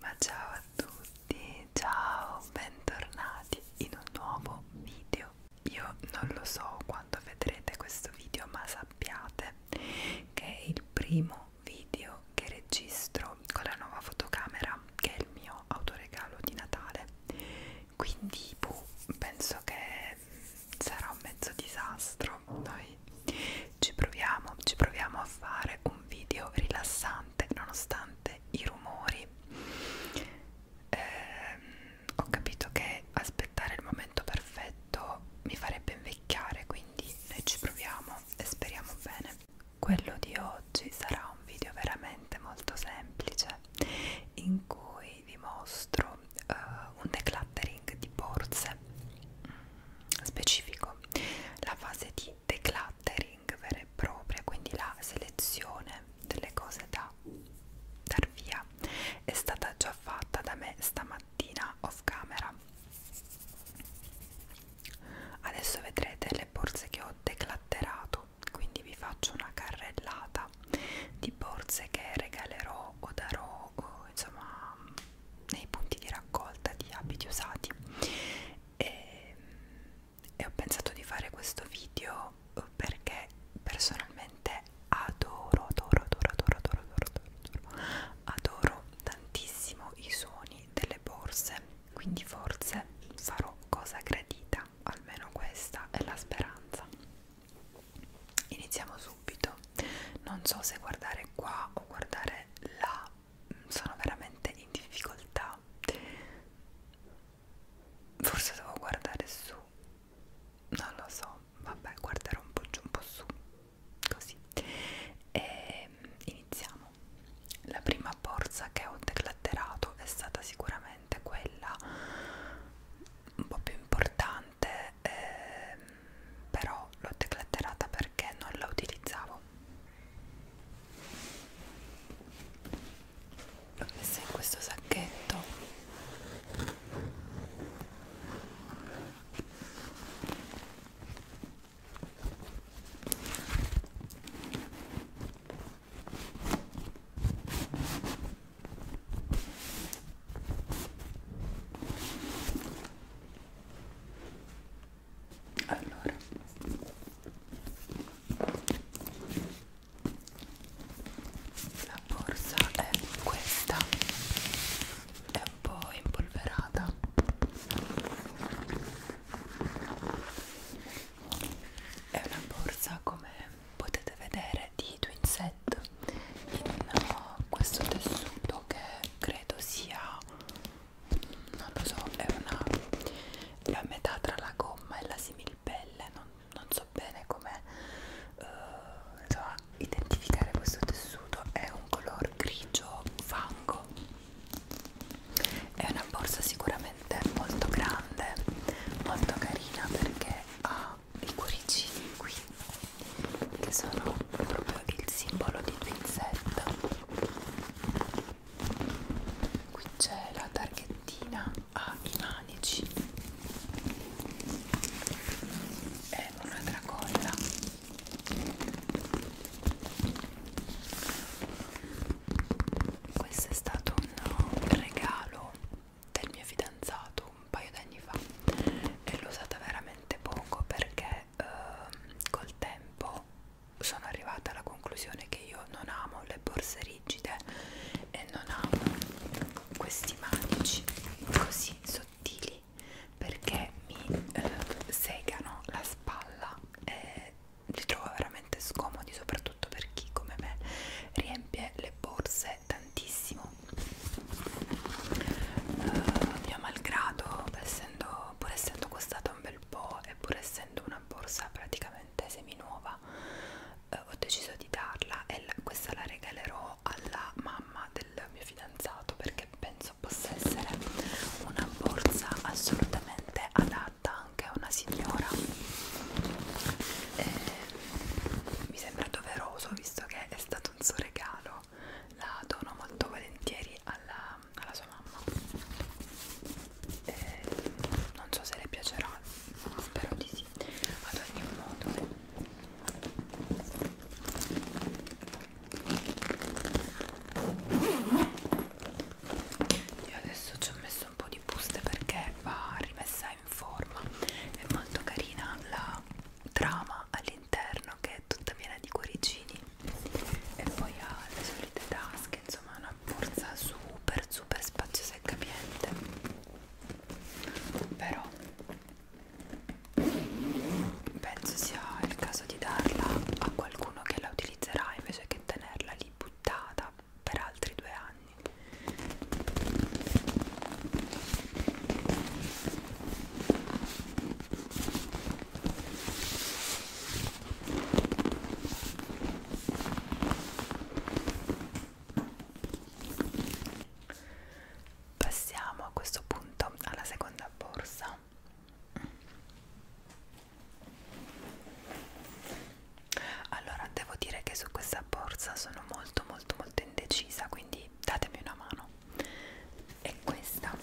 Ma ciao a tutti tutti, ciao, bentornati in un nuovo video. Io non lo so quando vedrete questo video, ma sappiate che è il primo video che registro con la nuova fotocamera, che è il mio autoregalo di Natale. Quindi boh, penso che sarà un mezzo disastro. Noi ci proviamo, ci proviamo a fare un video rilassante nonostante parte i rumori eh, ho capito che aspettare il momento perfetto mi farebbe invecchiare quindi noi ci proviamo e speriamo bene quello di oggi sarà un video veramente molto semplice in cui vi mostro eh, un decluttering di borse mm, specifico la fase di decluttering catering vera e propria, quindi la selezione delle cose da dar via è stata già fatta da me stamattina off camera. Adesso vedrete le borse che ho declatterato, quindi vi faccio una carrellata di borse che regalerò o darò o, insomma nei punti di raccolta di abiti usati e e ho pensato di fare questo video eh, perché personalmente adoro, adoro, adoro, adoro, adoro, adoro, adoro, adoro tantissimo i suoni delle borse, quindi forse farò cosa gradita, almeno questa è la speranza. Iniziamo subito, non so se guardare qua o guardare là sono veramente in difficoltà forse devo guardare su non lo so vabbè guarderò un po' giù un po' su così e ehm, iniziamo la prima borsa che ho declatterato è stata sicuramente quella un po' più importante ehm, però l'ho declatterata perché non la utilizzavo l'ho messa in questo sacchetto allora la borsa è questa è un po' impolverata è una borsa come potete vedere di Twinset in questo tessuto che credo sia non lo so, è una è a metà tra la gomma e la similpelle, non, non so bene come uh, so, identificare questo tessuto, è un color grigio fango, è una borsa sicuramente molto grande, molto carina perché ha i cuoricini qui che sono proprio il simbolo di Twinset qui c'è la targhettina ai manici è una tracolla questo è stato un regalo del mio fidanzato un paio d'anni fa e l'ho usata veramente poco perché eh, col tempo sono arrivata alla conclusione che io non amo le borse rigide e non amo questi manici così sottili perché mi eh, segano la spalla e li trovo veramente scomodi soprattutto per chi come me riempie le borse tantissimo uh, mio malgrado essendo però pur essendo costata un bel po' e pur essendo una borsa praticamente seminuova eh, ho deciso di darla e la, questa la regalerò alla mamma del mio fidanzato perché penso possa essere una borsa assolutamente adatta anche a una signora e mi sembra doveroso visto che è stato un suo regalo la dono molto volentieri alla alla sua mamma e eh, non so se le piacerà ma spero di sì ad ogni modo io adesso ci ho messo un po' di buste perché va rimessa in forma è molto carina la trama all'interno che è tutta piena di cuoricini e poi ha le solite tasche insomma è una borsa super super spaziosa e capiente però penso sia il caso di darla a qualcuno che la utilizzerà invece che tenerla lì buttata per altri due anni Passiamo a questo punto alla seconda borsa. Allora, devo dire che su questa borsa sono molto molto molto indecisa, quindi datemi una mano. E questa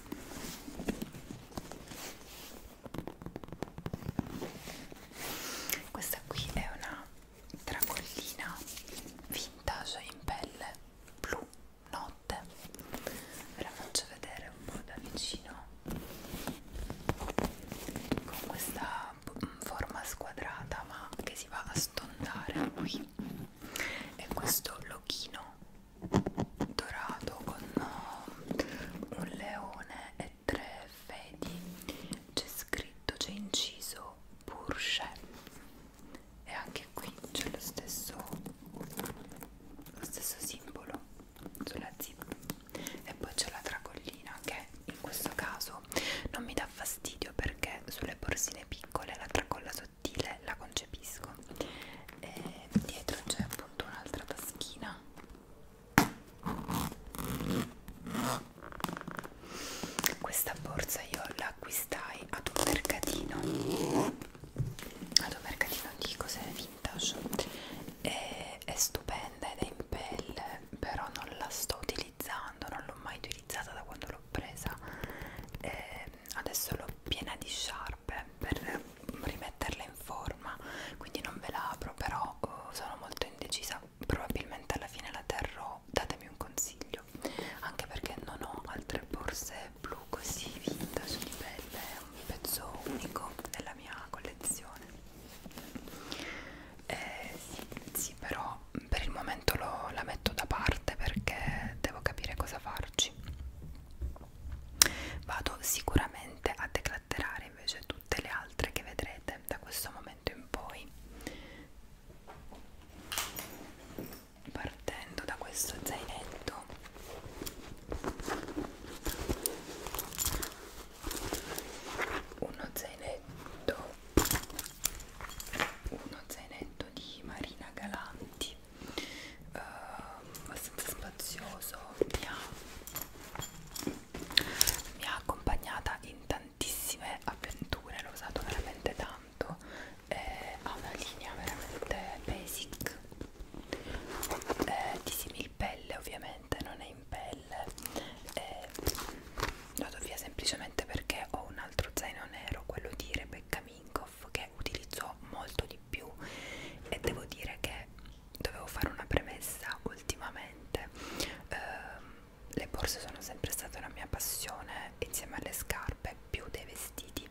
questa qui è una tracollina vintage in pelle blu notte. Ve la faccio vedere un po' da vicino con questa mm, forma squadrata ma che si va a stondare qui e questo lochino dorato con mm, un leone e tre fedi c'è scritto, c'è inciso Porsche e anche qui c'è lo stesso lo stesso simbolo sulla zip e poi c'è la tracollina che in questo caso non mi dà fastidio perché sulle borsine piccole la tracolla sottile la concepisco e dietro c'è appunto un'altra taschina questa borsa io la acquistai ad un mercatino, ad un mercatino di cose vintage, e è stupenda ed è in pelle, però non la sto utilizzando, non l'ho mai utilizzata da quando l'ho presa. E ehm, adesso l'ho piena di sciarpe per rimetterla in forma quindi non ve la apro però uh, sono molto indecisa probabilmente alla fine la terrò datemi un consiglio anche perché non ho altre borse blu così vintage di pelle è un pezzo unico della mia collezione eh, sì però per il momento lo, la metto da parte perché devo capire cosa farci vado sicuramente a declatterare fare invece tutte le altre che vedrete da questo momento in poi partendo da questo zainetto uno zainetto uno zainetto di Marina Galanti eh, abbastanza spazioso bianco mi ha accompagnata in tantissime avventure l'ho usato veramente tanto eh, ha una linea veramente basic eh, di similpelle ovviamente non è in pelle eh, vado via semplicemente perché ho un altro zaino nero quello di Rebecca Minkoff che utilizzo molto di più e devo dire che dovevo fare una premessa ultimamente ehm, le borse sono sempre state una mia passione insieme alle scarpe più dei vestiti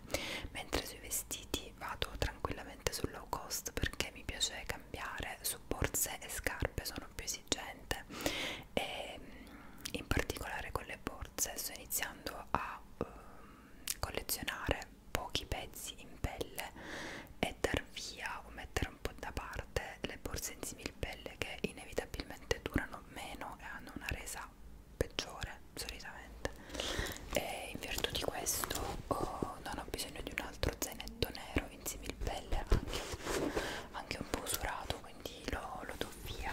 mentre sui vestiti vado tranquillamente sul low cost perché mi piace cambiare su borse e scarpe sono più esigente e ehm, in particolare con le borse sto iniziando a ehm, collezionare pochi pezzi in pelle e dar via o mettere un po' da parte le borse in similpelle che inevitabilmente durano meno e hanno una resa peggiore solitamente e in virtù di questo oh, non ho bisogno di un altro zainetto nero in similpelle anche, anche un po' usurato quindi lo, lo do via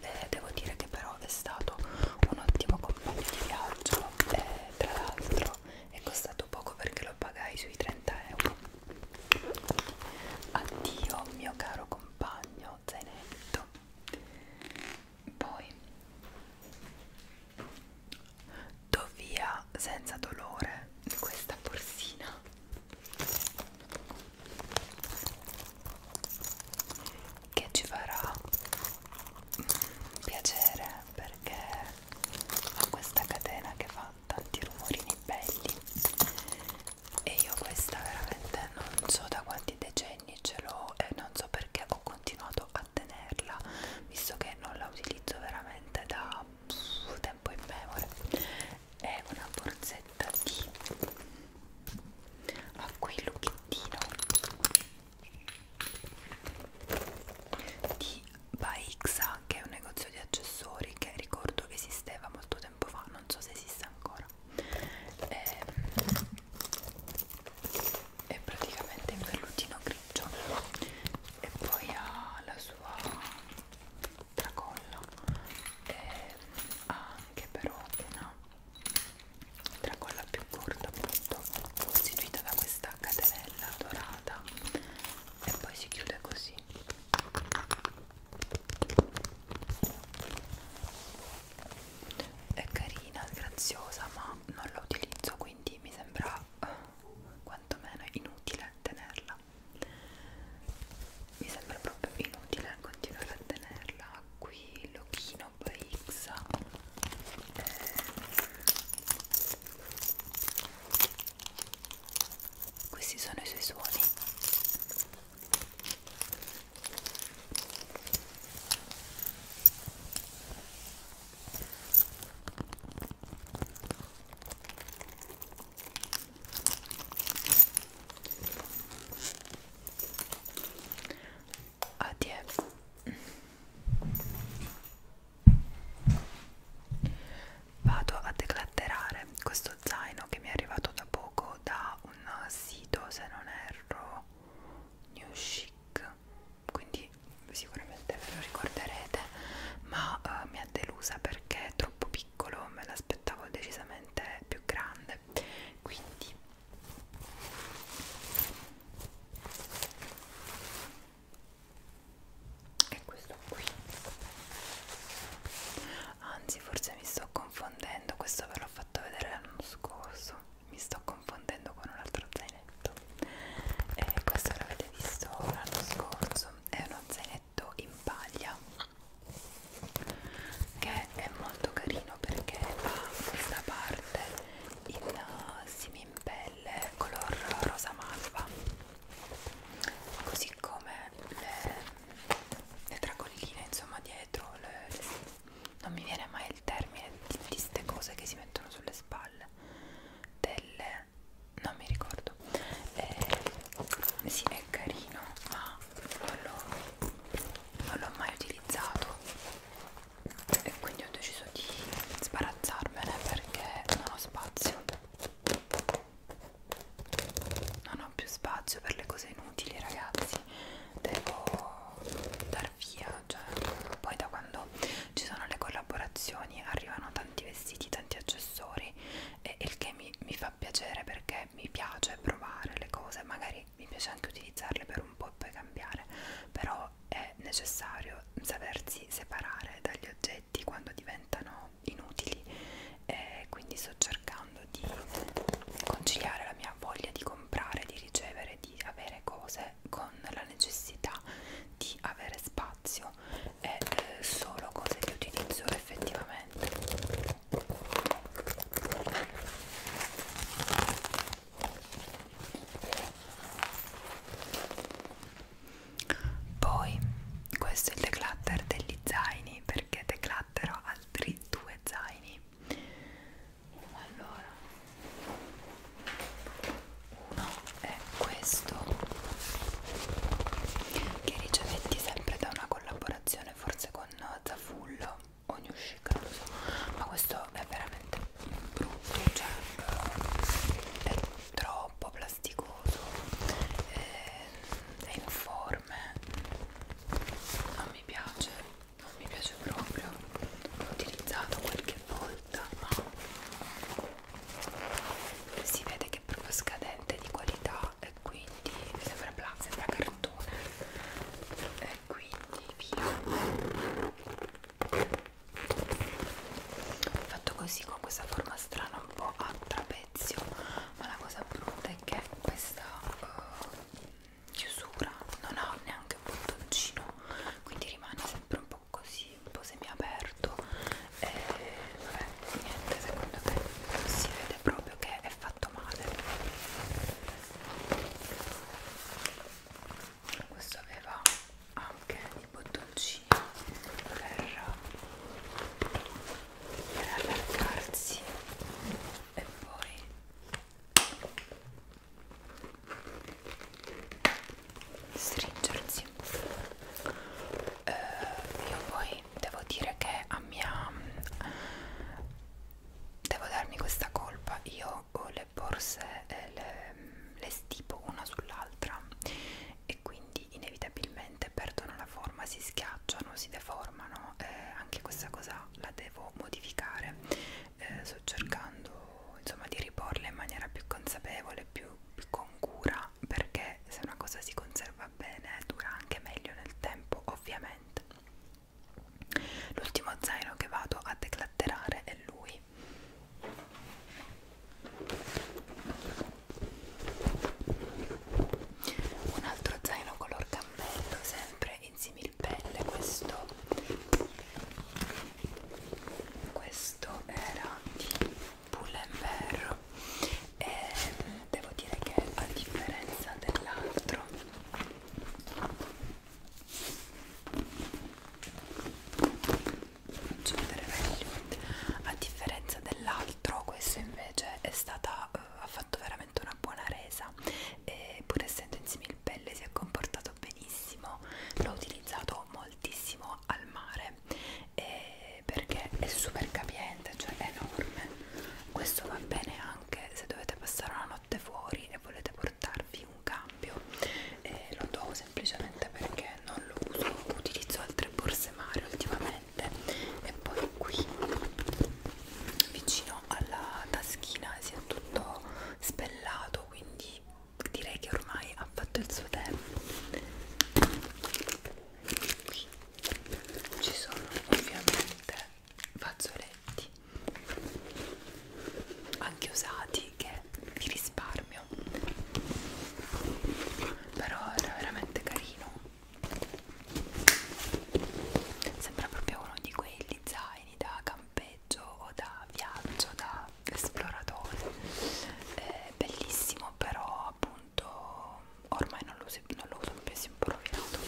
eh, devo dire che però è stato un ottimo compagno di viaggio e tra l'altro euro è costato poco perché lo pagai sui 30 euro addio mio caro compagno zainetto poi do via senza dolore questa borsina che ci farà mm, piacere perché ha questa catena che fa tanti rumorini belli e io questa veramente non so da quanti decenni ce l'ho e non so perché ho continuato a tenerla visto che non la utilizzo veramente da pff, tempo in memoria è una borsetta di a quel lucchettino di Baixa che è un negozio di accessori che ricordo che esisteva molto tempo fa non so se esiste ancora e, ehm, è praticamente in vellutino grigio e poi ha la sua tracolla e ehm, ha anche però una tracolla più corta appunto costituita da questa catenella dorata e poi si chiude così è carina, graziosa ma non la utilizzo quindi mi sembra eh, quantomeno inutile tenerla mi sembra proprio inutile continuare a tenerla qui l'occhio roba X questi sono i suoi suoni Adie. Vado a declatterare questo zaino che mi è arrivato da poco da un sito, se non erro, New Chic, quindi sicuramente ve lo ricorderete, ma uh, mi ha delusa perché è troppo piccolo, me l'aspettavo decisamente più grande, quindi è questo qui anzi forse mi sto confondendo questo ve l'ho fatto vedere l'anno scorso mi sto confondendo con un altro zainetto e questo l'avete visto l'anno scorso è uno zainetto in paglia che è molto carino perché ha questa parte in uh, simimpera caramelle color rosa malva così come le, le tracolline insomma dietro le, le, non mi viene mai il termine di queste cose che si mettono sulle spalle delle non mi ricordo eh, sì è carino ma non l'ho mai utilizzato e quindi ho deciso di sbarazzarmene perché non ho spazio non ho più spazio per le cose inutili ragazzi devo dar via cioè, poi da quando ci sono le collaborazioni arrivano tanti vestiti tanti accessori e il che mi, mi fa piacere perché mi piace provare le cose magari mi piace anche utilizzarle per un po' e poi cambiare però però è necessario sapersi separare dagli oggetti quando diventano inutili e quindi sto cercando di conciliare la mia voglia di comprare, di ricevere, di avere cose con la necessità di avere spazio e eh, solo cose che utilizzo effettivamente poi questo è il declutter degli zaini perché declatterò altri due zaini. Allora, uno è questo che ricevetti sempre da una collaborazione forse con Zafullo o New Chic, non lo so, ma questo è veramente brutto, cioè è troppo plasticoso, è, è informe, non mi piace, non mi piace proprio, l'ho utilizzato qualche volta ma si vede che è proprio scadente di qualità e quindi sembra, bla, sembra cartone e quindi via fatto così con questa forma strana un po' a trapezio ma la cosa brutta è che questa uh, chiusura non ha neanche un bottoncino quindi rimane sempre un po' così un po' semiaperto e vabbè niente secondo me si vede proprio che è fatto male questo aveva anche i bottoncini per, per allargarsi e poi stringersi eh, io poi devo dire che a mia devo darmi questa colpa io le le borse eh, le, le stipo una sull'altra e quindi inevitabilmente perdono la forma, si schiacciano, si deformano. Eh, anche questa cosa la devo modificare. Eh, sto cercando insomma di riporla in maniera più consapevole, più, più con cura, perché se una cosa si conserva bene dura anche meglio nel tempo, ovviamente. L'ultimo zaino che vado a declatterare è lui poi un altro zaino color cammello sempre in similpelle questo questo era di Pull&Bear e devo dire che a differenza dell'altro faccio vedere meglio a differenza dell'altro questo invece è stata uh, ha fatto veramente una buona resa e pur essendo in similpelle si è comportato benissimo l'ho utilizzato moltissimo al mare e perché è super capiente cioè è enorme questo va bene anche se dovete passare una notte fuori e volete portarvi un cambio eh, lo do semplicemente perché non lo uso utilizzo altre borse mare ultimamente e poi qui vicino alla taschina si è tutto spellato quindi direi che ormai ha fatto il suo tempo qui ci sono ovviamente fazzoletti anche usati soldi che vi risparmio però era veramente carino sembra proprio uno di quegli zaini da campeggio o da viaggio da esploratore è bellissimo però appunto ormai non lo uso, non lo uso più si è un po' rovinato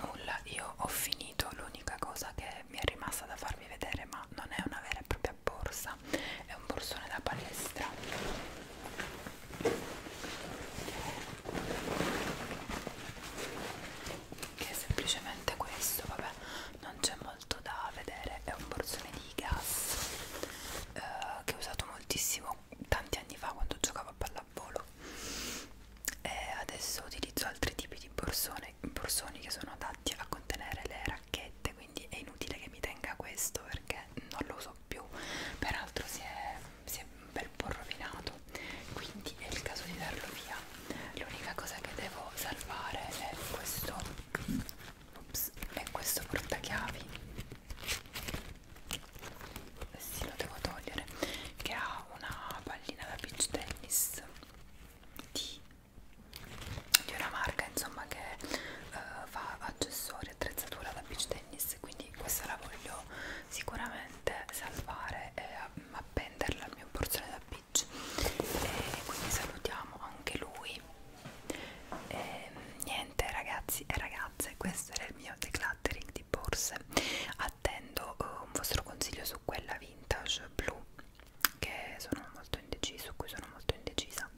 Nulla, io ho finito, l'unica cosa che mi è rimasta da farvi vedere, ma non è una vera e propria borsa, è un borsone da palestra che è semplicemente questo vabbè non c'è molto da vedere è un borsone di gas eh, che ho usato moltissimo tanti anni fa quando giocavo a pallavolo e adesso utilizzo altri tipi di borsone, borsoni che sono adatti a contenere le racchette quindi è inutile che mi tenga questo perché non lo uso più peraltro si è, si è un bel po' rovinato quindi è il caso di darlo via l'unica cosa che devo salvare è questo ups, è questo portachiavi sì lo devo togliere che ha una pallina da beach tennis di, di una marca insomma che uh, fa accessori serie attrezzatura da beach tennis quindi questa la voglio sicuramente salvare e appenderla al mio borsone da beach e quindi salutiamo anche lui e niente ragazzi e ragazze questo era il mio decluttering di borse attendo uh, un vostro consiglio su quella vintage blu che sono molto indeciso, su cui sono molto indecisa Luisa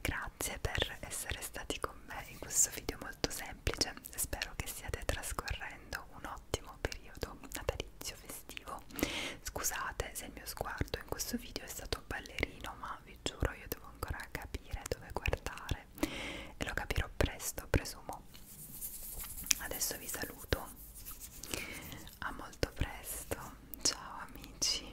grazie per essere stati con me in questo video molto semplice spero che stiate trascorrendo un ottimo periodo natalizio festivo scusate se il mio sguardo in questo video è stato ballerino ma vi giuro io devo ancora capire dove guardare e lo capirò presto presumo adesso vi saluto a molto presto ciao amici